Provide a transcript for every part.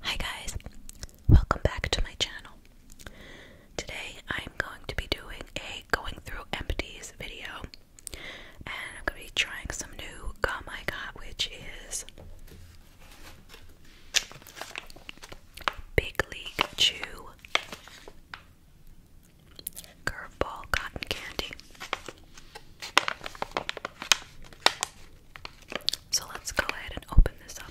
Hi guys, welcome back to my channel. Today I'm going to be doing a going through empties video and I'm going to be trying some new gum I got which is Big League Chew Curveball Cotton Candy. So let's go ahead and open this up.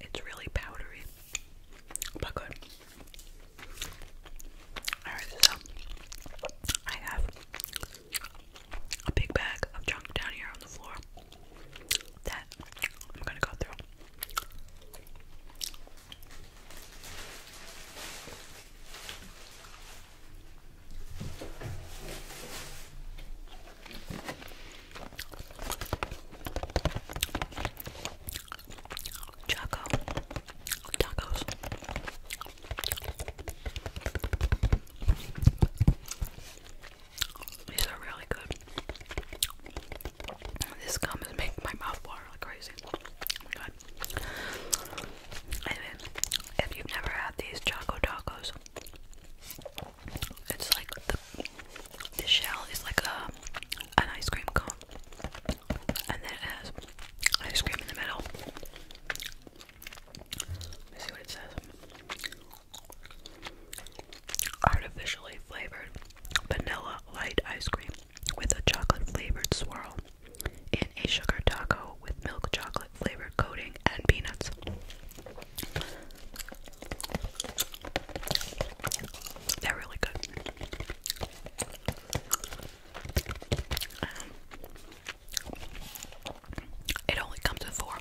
It's really powdery, but good. Alright, so I have a big bag of junk down here on the floor that I'm gonna go through. Choco tacos. These are really good. This gum is making my mouth water like crazy. Oh if you've never had these Choco Tacos, it's like the, shell is like a, an ice cream cone. And then it has ice cream in the middle. Let me see what it says. Artificially flavored vanilla light ice cream with a chocolate flavored swirl in a sugar taco with milk chocolate flavored coating and peanuts. They're really good. Um, it only comes in four.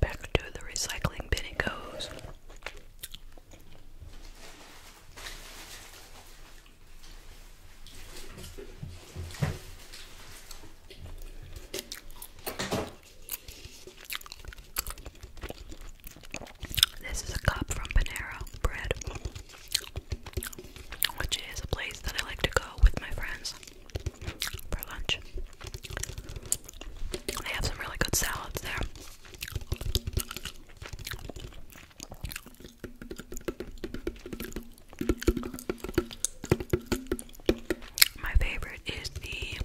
Back to the recycling bin it goes. This is a cup from Panera Bread, which is a place that I like to go with my friends for lunch. They have some really good salads there. My favorite is the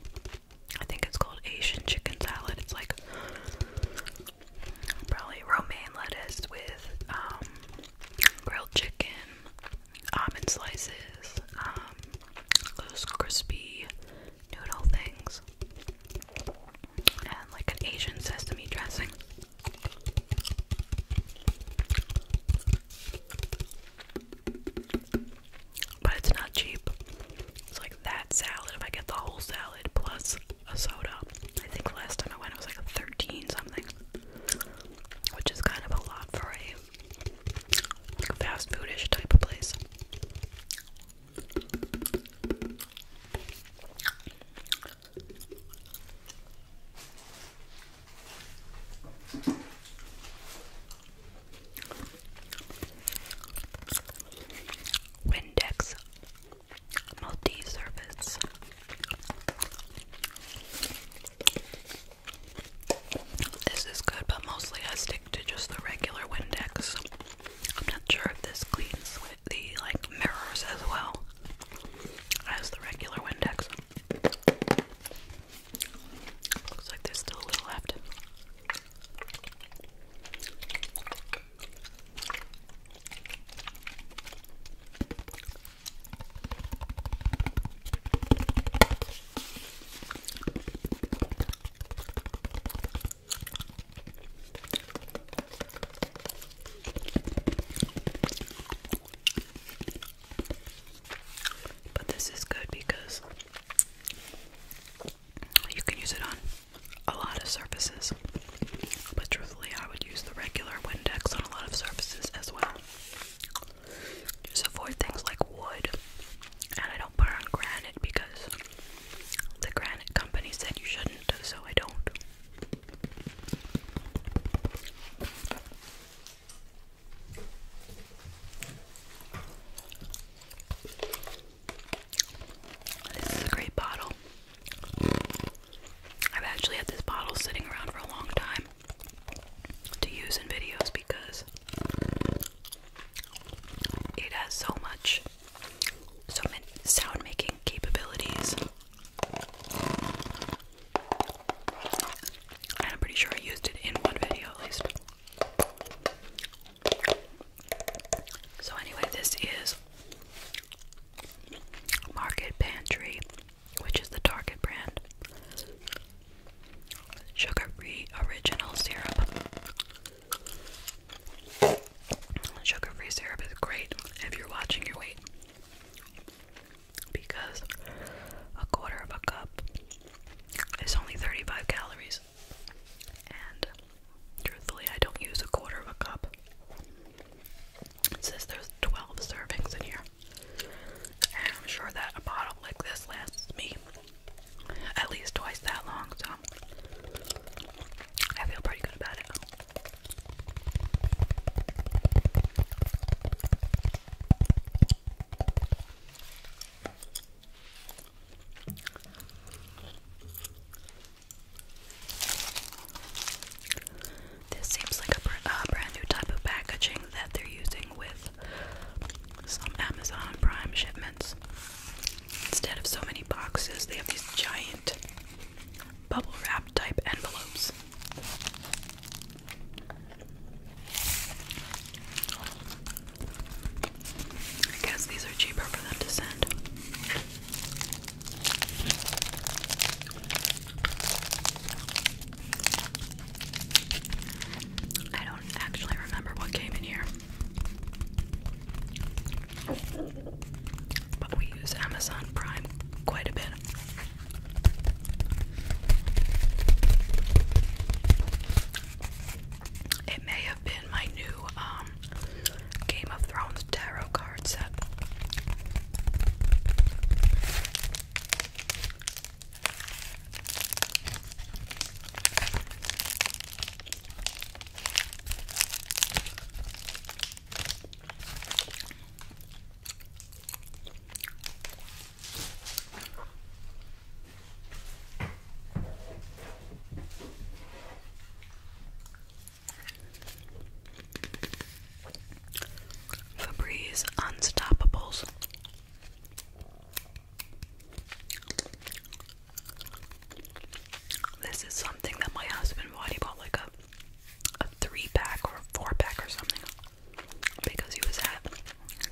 I think it's called Asian chicken salad. It's like Probably romaine lettuce with um, grilled chicken, almond slices, those um, crispy noodle things, and like an Asian sesame dressing. But it's not cheap. It's like that salad if I get the whole salad plus a soda. I think last time I went it was like a 13 something, which is kind of a lot for a fast foodish type of place. Windex multi-service this is good but mostly I stick to just the regular Windex I'm not sure if this cleans the like mirrors as well as the regular Windex looks like there's still a little left but this is good because you can use it on a lot of surfaces, but truthfully, I would use the regular Windex on a lot of surfaces as well. Just avoid things like wood, and I don't put it on granite because the granite company said you shouldn't, so I don't. This is a great bottle. I've actually had this bottle sitting around for a long time to use in videos because it has so much, so many sound making capabilities. And I'm pretty sure I used it in one video at least. So anyway, this is Market Pantry, which is the Target brand. Sugar-free original syrup. Sugar-free syrup is great if you're watching your weight. Because a quarter of a cup is only 35 calories and truthfully, I don't use a quarter of a cup. It says there's 12 servings in here, and I'm sure that a bottle like this lasts me at least twice that long, so I feel pretty good about it. This seems like a brand new type of packaging that they're using with some Amazon Prime shipments. Instead of so many boxes, they have these giant bubble wrap type envelopes. I guess these are cheaper for them to send. I don't actually remember what came in here. But we use Amazon Prime quite a bit. It may have been my new um, Game of Thrones tarot card set. Febreze Unstoppables. This is something that my husband bought. He bought like a, a three pack or a four pack or something because he was at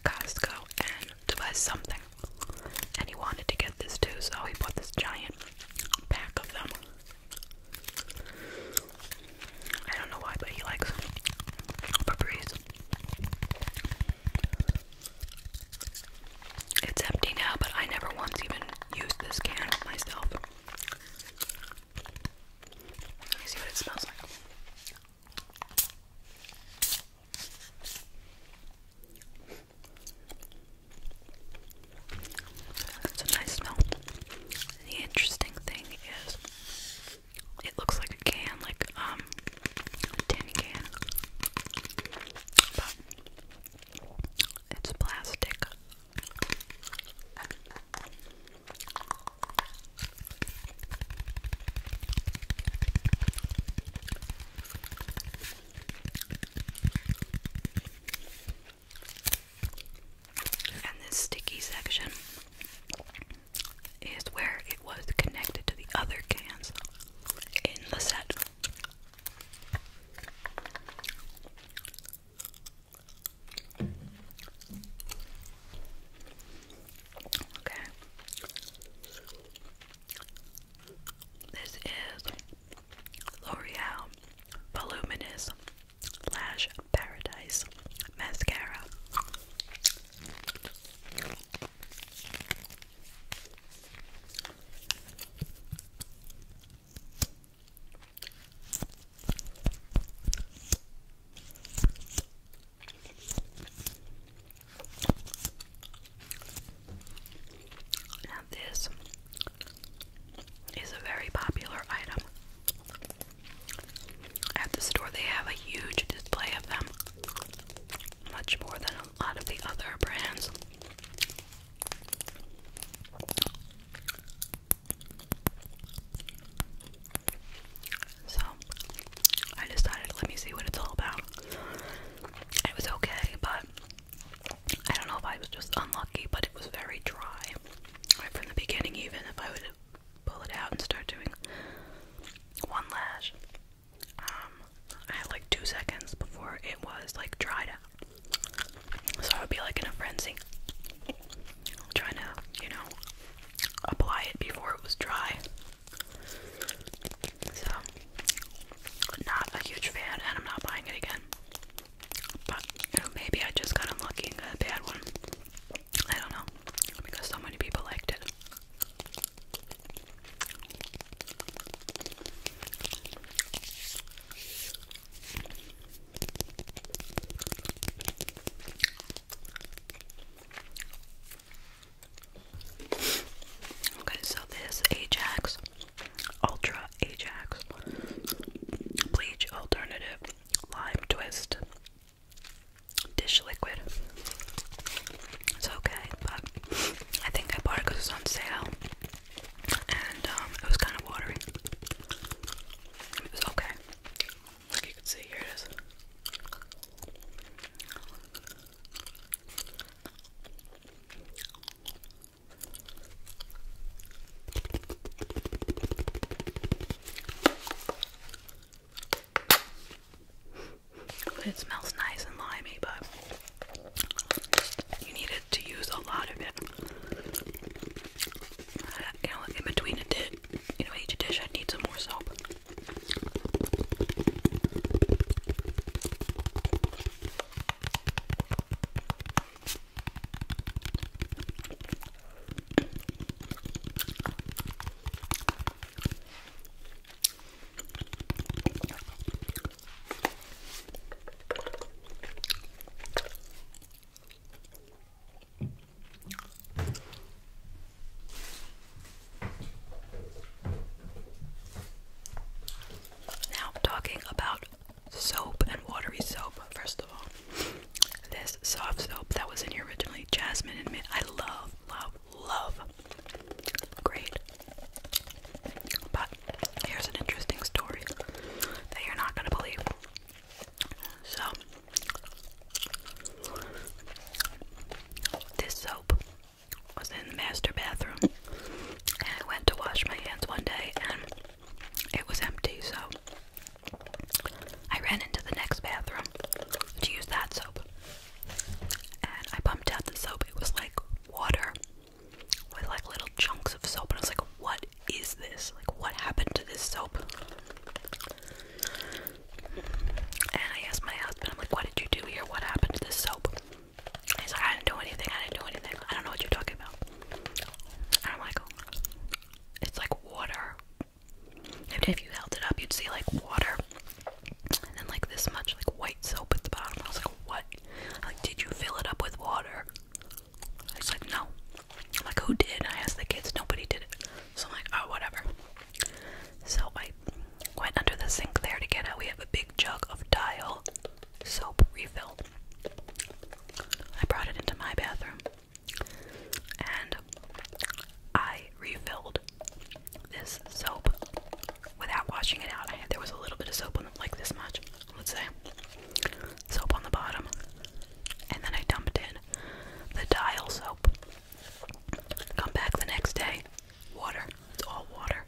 Costco and to buy something. And he wanted to get this too, so he bought this giant pack of them. I don't know why, but he likes Febreze. It's empty now, but I never once even used this can myself. Let me see what it smells like. That's a nice smell. And the interesting thing is, it looks like a can, like um, a tin can, it's plastic. And this sticky section is where it was connected to the other cans in the set. Okay. This is L'Oreal Voluminous Lash Paradise Mascara. Now, this is a very popular item. At the store, they have a huge display of them, much more than a lot of the other brands. So, I decided, let me see what it's all about. It was okay, but I don't know if I was just unlucky, but it was very dry right from the beginning. Even if I would pull it out and start doing one lash, um, I had like two seconds before it was like dried out. So I would be like in a frenzy, trying to you know apply it before it was dry. So, not a huge fan, and I'm not buying it again. But maybe I just got unlucky and a bad one. I don't know. Because so many people liked it. Okay, so this Ajax Ultra Ajax, Bleach Alternative, Lime Twist, Dish Liquid. It's okay, but I think I bought it because it was on sale, and um, it was kind of watery. It was okay. Like you can see, here it is. It smells nice and limey, but you needed to use a lot of it. Uh, you know, in between a did you know each dish, i need some more soap. Now, talking about soap and watery soap, first of all. This soft soap that was in here originally, jasmine and mint. I love, love, love. Great. But here's an interesting story that you're not going to believe. So, this soap was in the master bathroom and I went to wash my hands one day and it was empty, so I ran into the next bathroom to use that soap. And I pumped out the soap. It was like water with like little chunks of soap. And I was like, what is this? Like, what happened to this soap? And I asked my husband, I'm like, what did you do here? What happened to this soap? He's like, I didn't do anything, I didn't do anything. I don't know what you're talking about. And I'm like, it's like water. if you held it up, you'd see like water. And then like this much like white soap at the bottom. I was like, what? like, did you fill it up with water? He's like, no. like, who did? I asked the kids, nobody did it. So I'm like, oh, whatever. So I went under the sink there to get out. We have a big jug of dial soap refill. I brought it into my bathroom and I refilled this soap without washing it out. I there was a little bit of soap on the, like this much, let's say, soap on the bottom, and then I dumped in the dial soap. Come back the next day, water. It's all water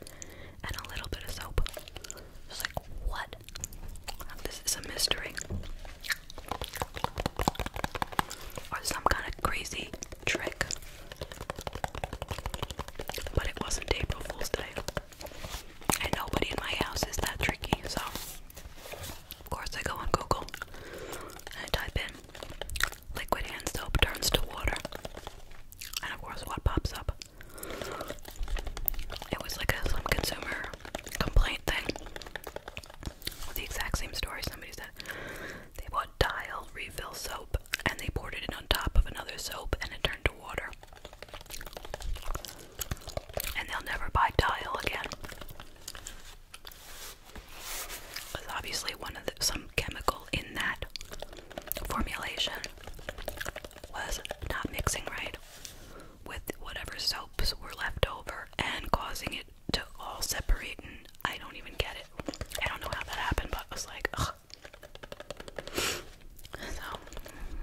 and a little bit of soap. It's like, what? This is a mystery. Or some kind of crazy trick. But it wasn't April Fool's Day. And nobody in my house is that tricky, so of course I go on Google and I type in liquid hand soap turns to water. And of course what pops up? It was like a some consumer complaint thing. The exact same story. Somebody said they bought Dial refill soap and they poured it on top of another soap and it turned to water. And they'll never buy Dial again. Because obviously, one of the, some chemical in that formulation was not mixing right with whatever soaps were left over and causing it to all separate and I don't even get it. I don't know how that happened, but I was like, ugh.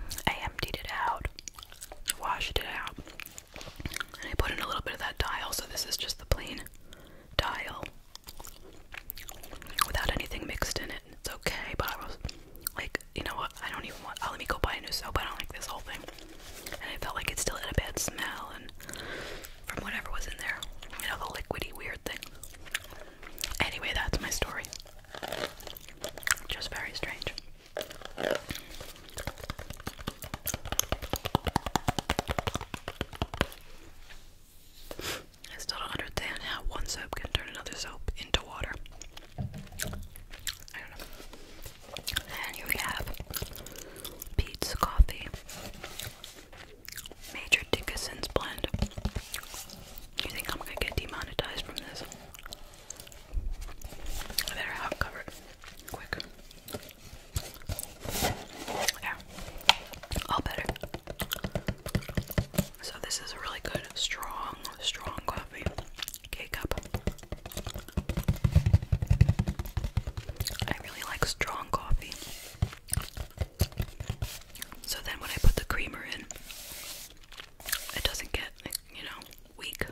So I emptied it out, washed it out, and I put in a little bit of that dial, so this is just the plain dial without anything mixed in it it's okay, but I was like, you know what, I don't even want, I'll oh, let me go buy a new soap, I don't like this whole thing. And I felt like it still had a bad smell and from whatever was in there, you know, the liquidy weird thing. Anyway, that's my story. Just very strange. I still don't understand how one soap can turn another soap into water. And here we have Pete's Coffee Major Dickinson's Blend. You think I'm gonna get demonetized from this? better have covered quick. There. All better. So this is a really good, strong, strong coffee. Cake cup. I really like strong coffee. So then when I put the creamer in, it doesn't get, you know, weak.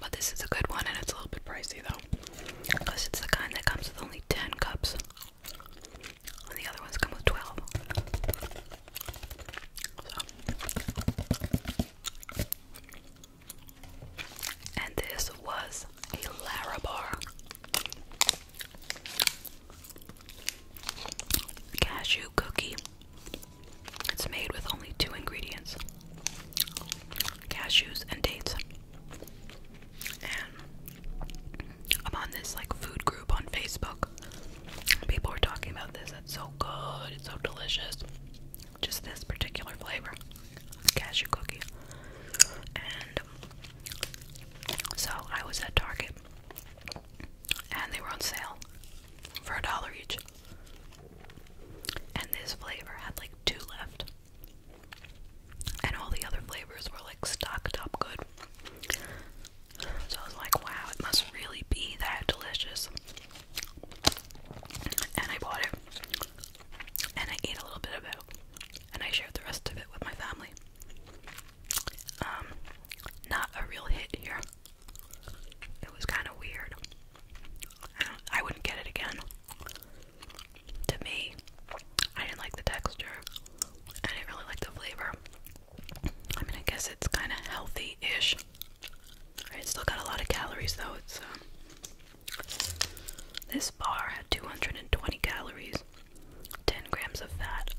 But this is a good one and it's a little bit pricey though. Because it's the kind that comes with only 10 cups. And the other ones come with 12. And this was a Larabar. Cashew cookie. It's made with only two ingredients cashews and dates. And I'm on this like food group on Facebook. People are talking about this. It's so good. It's so delicious. Just this particular flavor, cashew cookie. And so I was at Target, and they were on sale for a dollar each. And this flavor had like two left and all the other flavors were like stocked up good. So I was like, wow, it must really be that delicious. And I bought it, and I ate a little bit of it, and I shared the rest of it with my family. Um, not a real hit here. It was kind of weird. I, wouldn't get it again to me. I didn't like the texture. I didn't really like the flavor. I mean, I guess it's kind of healthy-ish. It's still got a lot of calories, though. It's um, this bar had 220 calories, 10 grams of fat,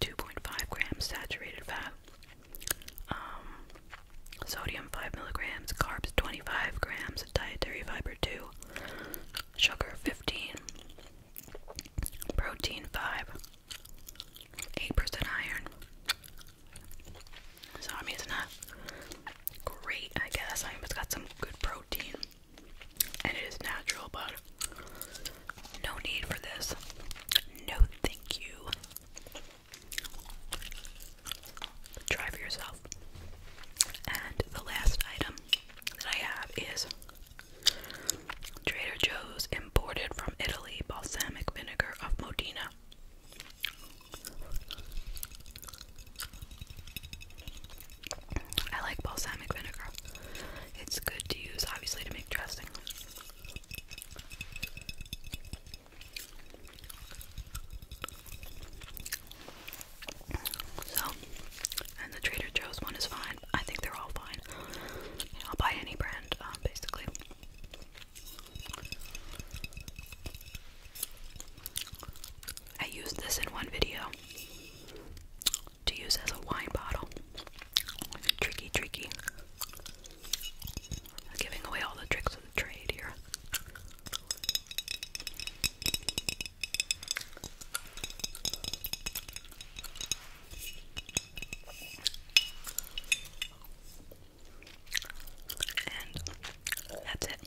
2.5 grams saturated fat, um, Sodium 5 milligrams, carbs 25 grams, dietary fiber 2, sugar 15, protein 5, 8% iron. So, I mean, it's not great, I guess. I mean, it's got some good protein and it is natural, but no need for this. No, thank you. Try for yourself. And the last item that I have is Trader Joe's imported from Italy balsamic vinegar of Modena. I like balsamic vinegar. It's good to use, obviously, to make dressing. So, and the Trader Joe's one is fine. I think they're all fine. I'll buy any brand, um, basically. I used this in one video to use as a wine bottle. Tricky, tricky. I'm giving away all the tricks of the trade here. And that's it.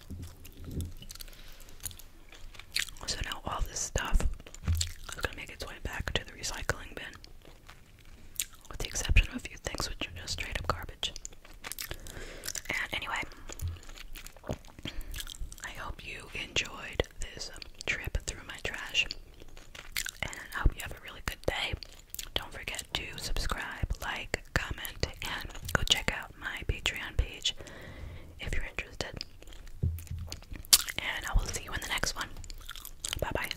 So now all this stuff is going to make its way back to the recycling bin, with the exception of a few things which are just straight up garbage. And anyway, I hope you enjoyed this trip through my trash. And I hope you have a really good day. Don't forget to subscribe, like, comment, and go check out my Patreon page if you're interested. And I will see you in the next one. Bye bye.